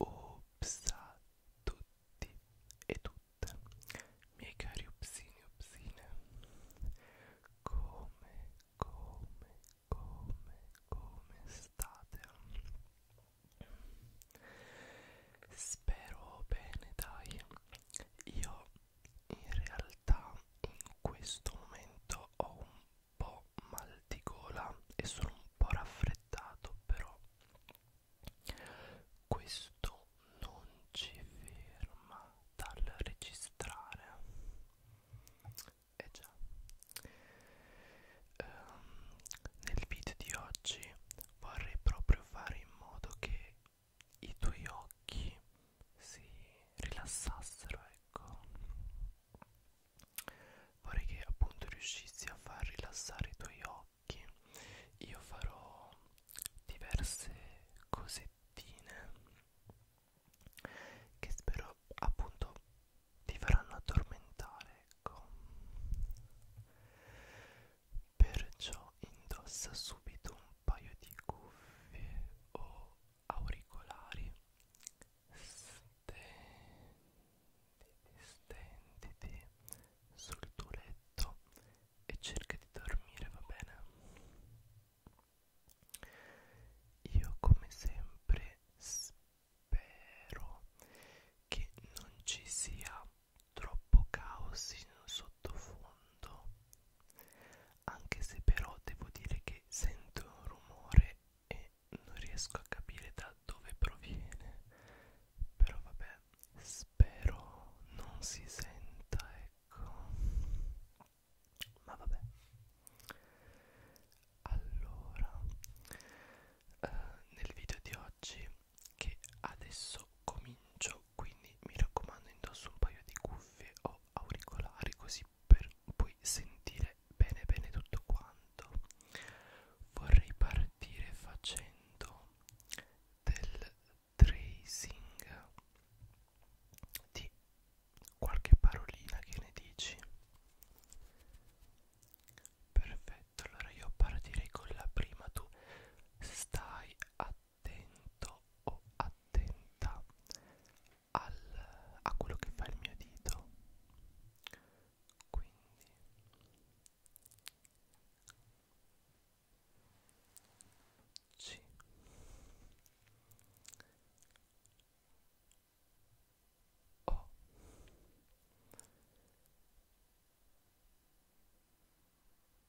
Ops a tutti e tutte, miei cari upsini upsine, come, come, come, come state? Spero bene, dai, io in realtà in questo momento ho un po' mal di gola e sono un po' raffreddato però questo non ci ferma dal registrare eh già um, nel video di oggi vorrei proprio fare in modo che i tuoi occhi si rilassassero, ecco. Vorrei che appunto riuscissi a far rilassare i tuoi occhi. Io farò diverse cosettine che spero appunto ti faranno addormentare, ecco perciò indossa subito un paio di cuffie o auricolari stenditi, stenditi sul tuo letto e cerca di dormire, va bene? Io come sempre spero che non ci sia troppo caos in un sottofondo, anche se però devo dire che sento un rumore e non riesco a capire da dove proviene, però vabbè, spero non si senta, ecco, ma vabbè. Allora, eh, nel video di oggi che adesso comincio quindi mi raccomando indosso un paio di cuffie o auricolari così per poi sentire bene bene tutto quanto vorrei partire facendo del tracing di qualche parolina che ne dici perfetto allora io partirei con la prima tu stai attento attento o attenta al, a quello che fa il mio dito quindi C O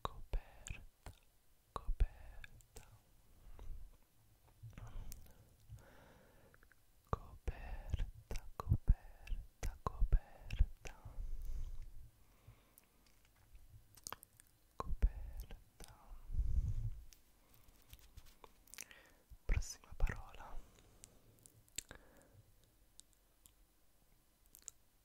coperta coperta coperta coperta coperta coperta prossima parola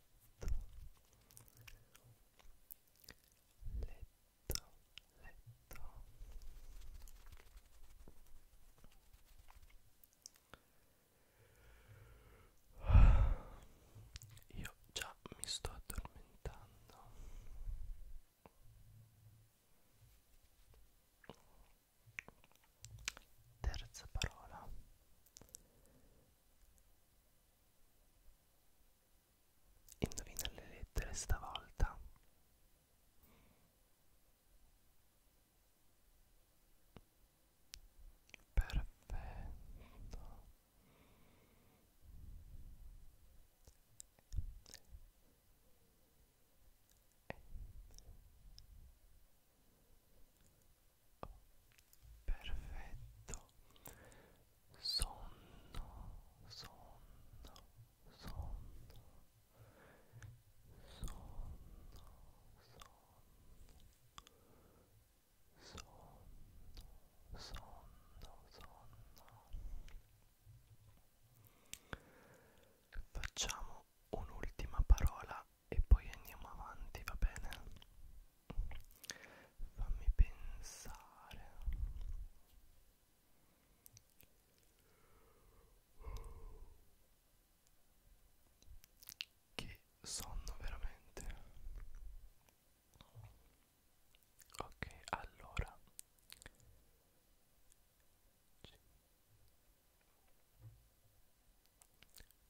letto letto letto io già mi sto addormentando Terza parola. Indovina le lettere stavolta. Perfetto perfetto sonno sonno sonno sonno sonno sonno sonno sonno facciamo un'ultima parola e poi andiamo avanti, va bene? Fammi pensare. Che sonno veramente. Ok, allora.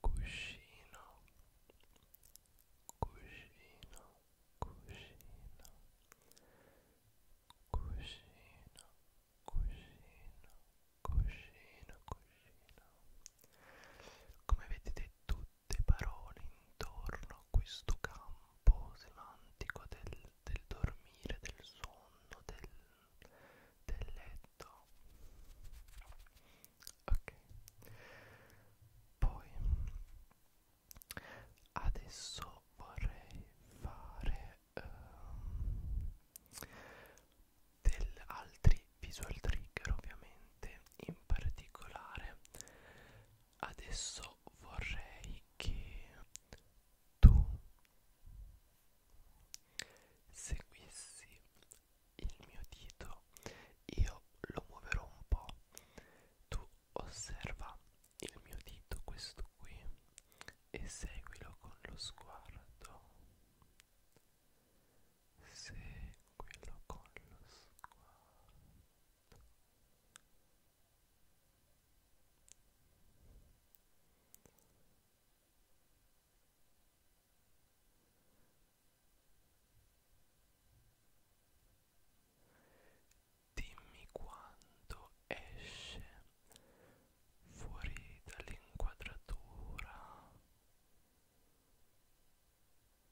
cuscino cuscino cuscino cuscino cuscino cuscino cuscino come vedete tutte parole intorno a questo campo semantico del, del dormire del sonno del del letto ok poi adesso vorrei fare um, del altri visual trigger ovviamente in particolare adesso vorrei che tu seguissi il mio dito io lo muoverò un po' tu osserva il mio dito questo qui e seguilo con lo sguardo seguilo con lo sguardo Dimmi quando esce fuori dall'inquadratura.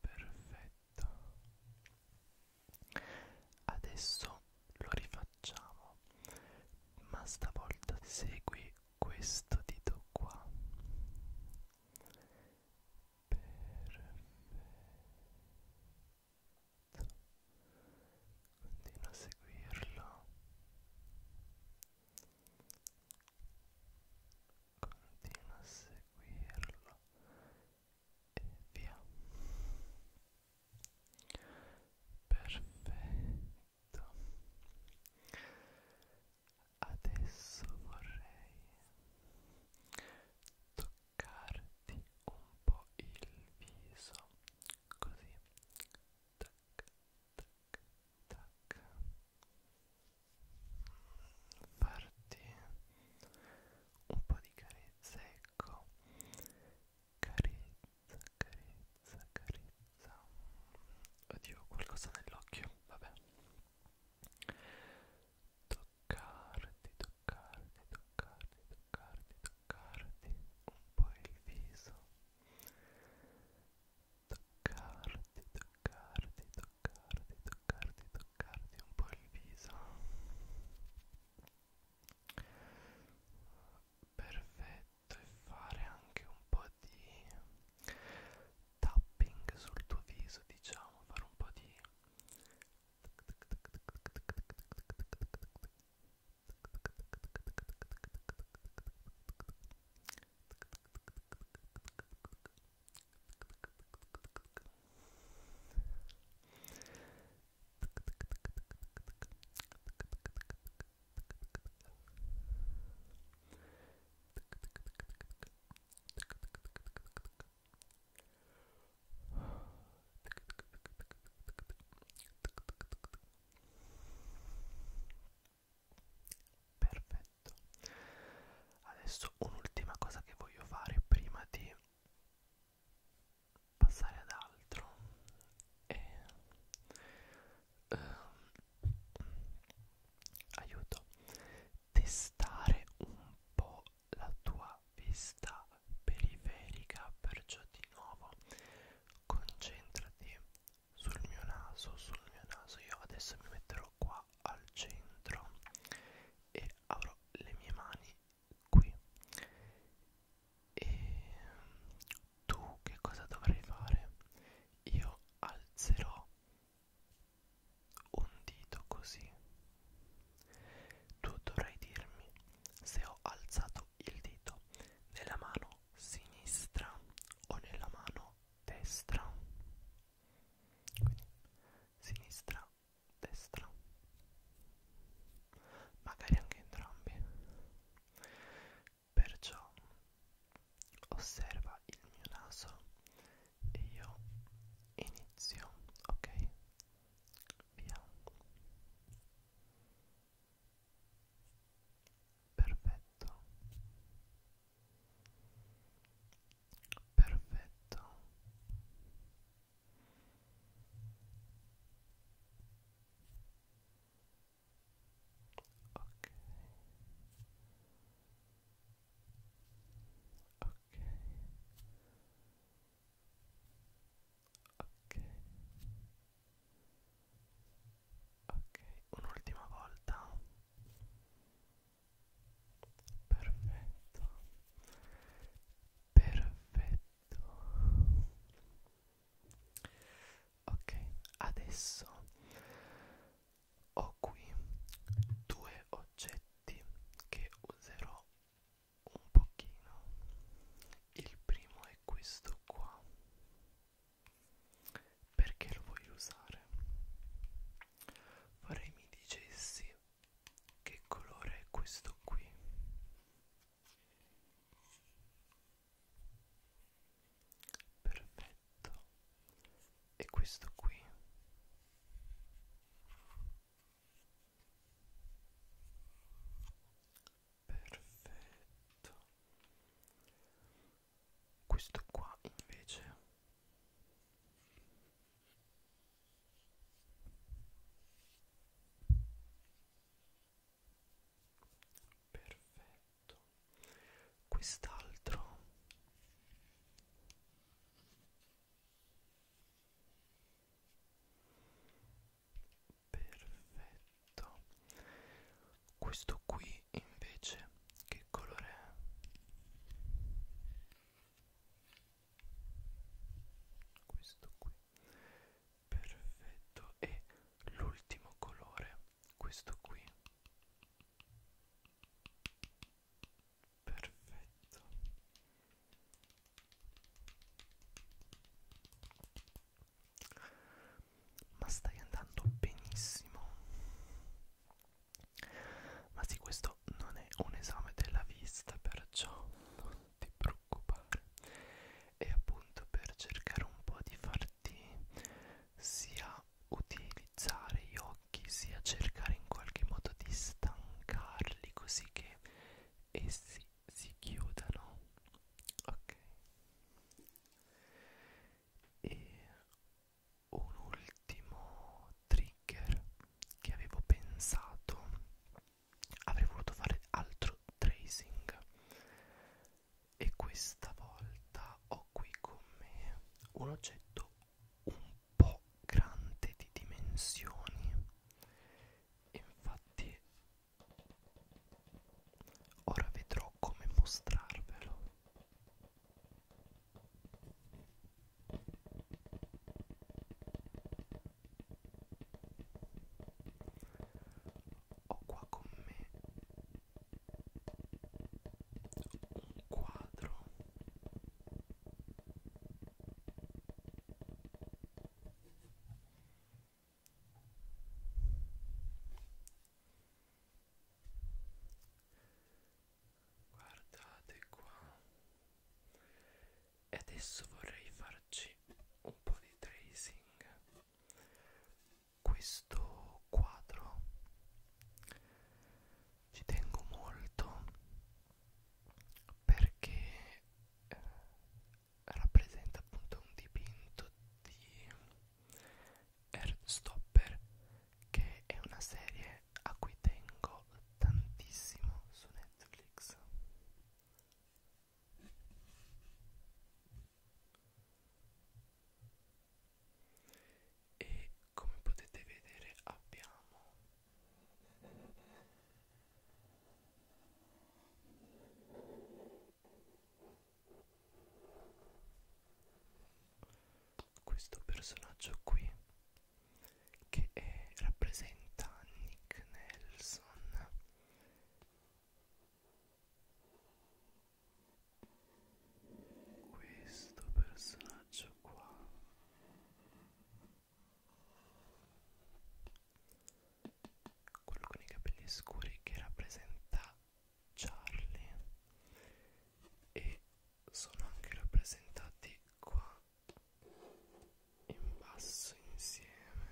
Perfetto. Adesso lo rifacciamo, ma stavolta segui questo dito qua perfetto continua a seguirlo continua a seguirlo e via perfetto detto adesso vorrei toccarti un po' il viso così tac tac tac farti un po' di carezza ecco carezza carezza, carezza. Oddio, qualcosa nell'occhio, vabbè. Toccarti, toccarti, toccarti, toccarti, toccarti un po' il viso. Toccarti, toccarti, toccarti, toccarti, toccarti un po' il viso. Perfetto e fare anche un po' di tapping sul tuo viso, diciamo, fare un po' di Perfetto. Adesso un'ultima cosa che voglio fare prima di passare ad altro è eh, aiuto testare un po' la tua vista periferica perciò di nuovo concentrati sul mio naso sul mio naso io adesso mi metterò qua al centro e avrò le mie mani qui e tu che cosa dovrai fare? Io alzerò un dito così. Tu dovrai dirmi se ho alzato il dito nella mano sinistra o nella mano destra. Quindi sinistra, destra. Magari anche entrambi. Perciò osserva il mio naso e io inizio, ok? Via. Perfetto. Perfetto ok ok ok ok un'ultima volta perfetto perfetto ok adesso ho qui due oggetti che userò un pochino il primo è questo qua perché lo voglio usare vorrei mi dicessi che colore è questo qui perfetto e questo qui perfetto questo qua invece perfetto quest'altro perfetto questo qui invece che colore è questo qui perfetto e l'ultimo colore questo qui perfetto ma stai andando benissimo ma sì questo non è un esame della vista perciò non ti preoccupare preoccupare e appunto per cercare un po' di farti sia utilizzare gli occhi sia cercare in qualche modo di stancarli così che essi si chiudano ok e un ultimo trigger che avevo pensato avrei voluto fare altro tracing e questa volta ho qui con me un oggetto un po' grande di dimensioni e infatti ora vedrò come mostrarvelo ho qua con me un quadro Guardate qua e adesso vorrei farci un po' di tracing questo quadro ci tengo molto perché eh, rappresenta appunto un dipinto di Earthstopper che è una serie a cui tengo tantissimo su Netflix e come potete vedere abbiamo questo personaggio qui che è, rappresenta Nick Nelson questo personaggio qua quello con i capelli scuri che rappresenta Charlie e sono anche rappresentati qua in basso insieme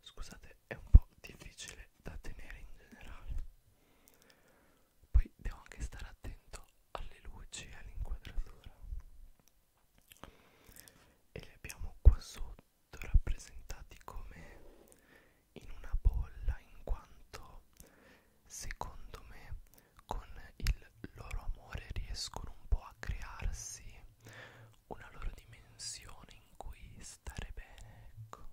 scusate è un po' difficile da tenere in generale poi devo anche stare attento alle luci e all'inquadratura e li abbiamo qua sotto rappresentati come in una bolla in quanto secondo me con il loro amore riescono un po' a crearsi una loro dimensione in cui stare bene, ecco.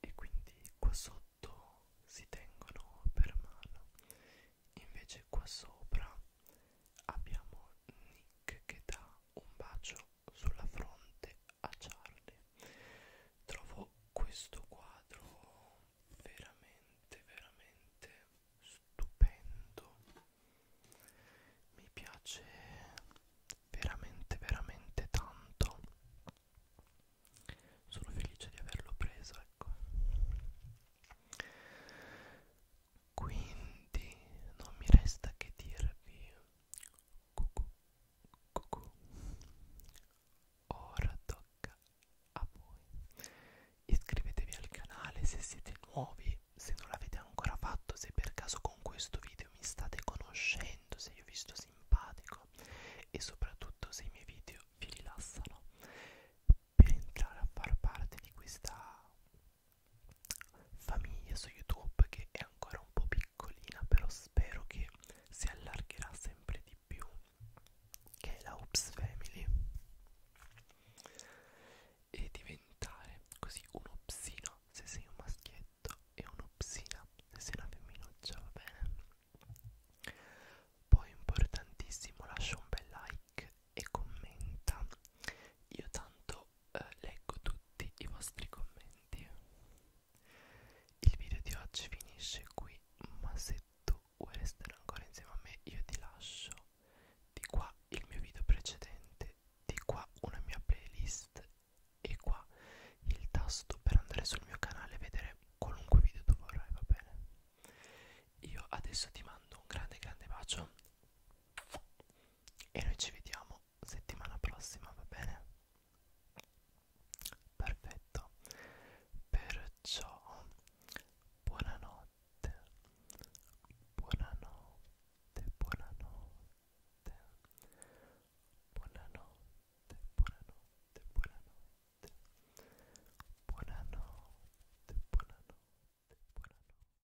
E quindi qua sotto si tengono per mano, invece qua sopra abbiamo Nick che dà un bacio sulla fronte a Charlie. Trovo questo quadro veramente, veramente stupendo. Mi piace veramente, veramente tanto. Sono felice di averlo preso, ecco. Quindi non mi resta che dirvi cucù, cucù. Ora tocca a voi. Iscrivetevi al canale se siete nuovi, se non l'avete ancora fatto, se per caso con questo video mi state conoscendo, se io vi sto simpatico e soprattutto se i miei video vi rilassano per entrare a far parte di questa famiglie su YouTube che è ancora un po' piccolina, però spero che si allargherà sempre di più, che è la Oops Family, e diventare così un opsino se sei un maschietto e un'opsina se sei una femminuccia, va bene? Poi importantissimo, lascia un bel like e commenta. Io tanto eh, leggo tutti i vostri commenti. Il video di oggi finisce qui, ma se tu vuoi restare ancora insieme a me io ti lascio di qua il mio video precedente, di qua una mia playlist e qua il tasto per andare sul mio canale e vedere qualunque video tu vorrai, va bene? Io adesso ti mando un grande grande bacio e noi ci vediamo settimana prossima va bene perfetto perciò buonanotte buonanotte buonanotte buonanotte buonanotte buonanotte buonanotte buonanotte buonanotte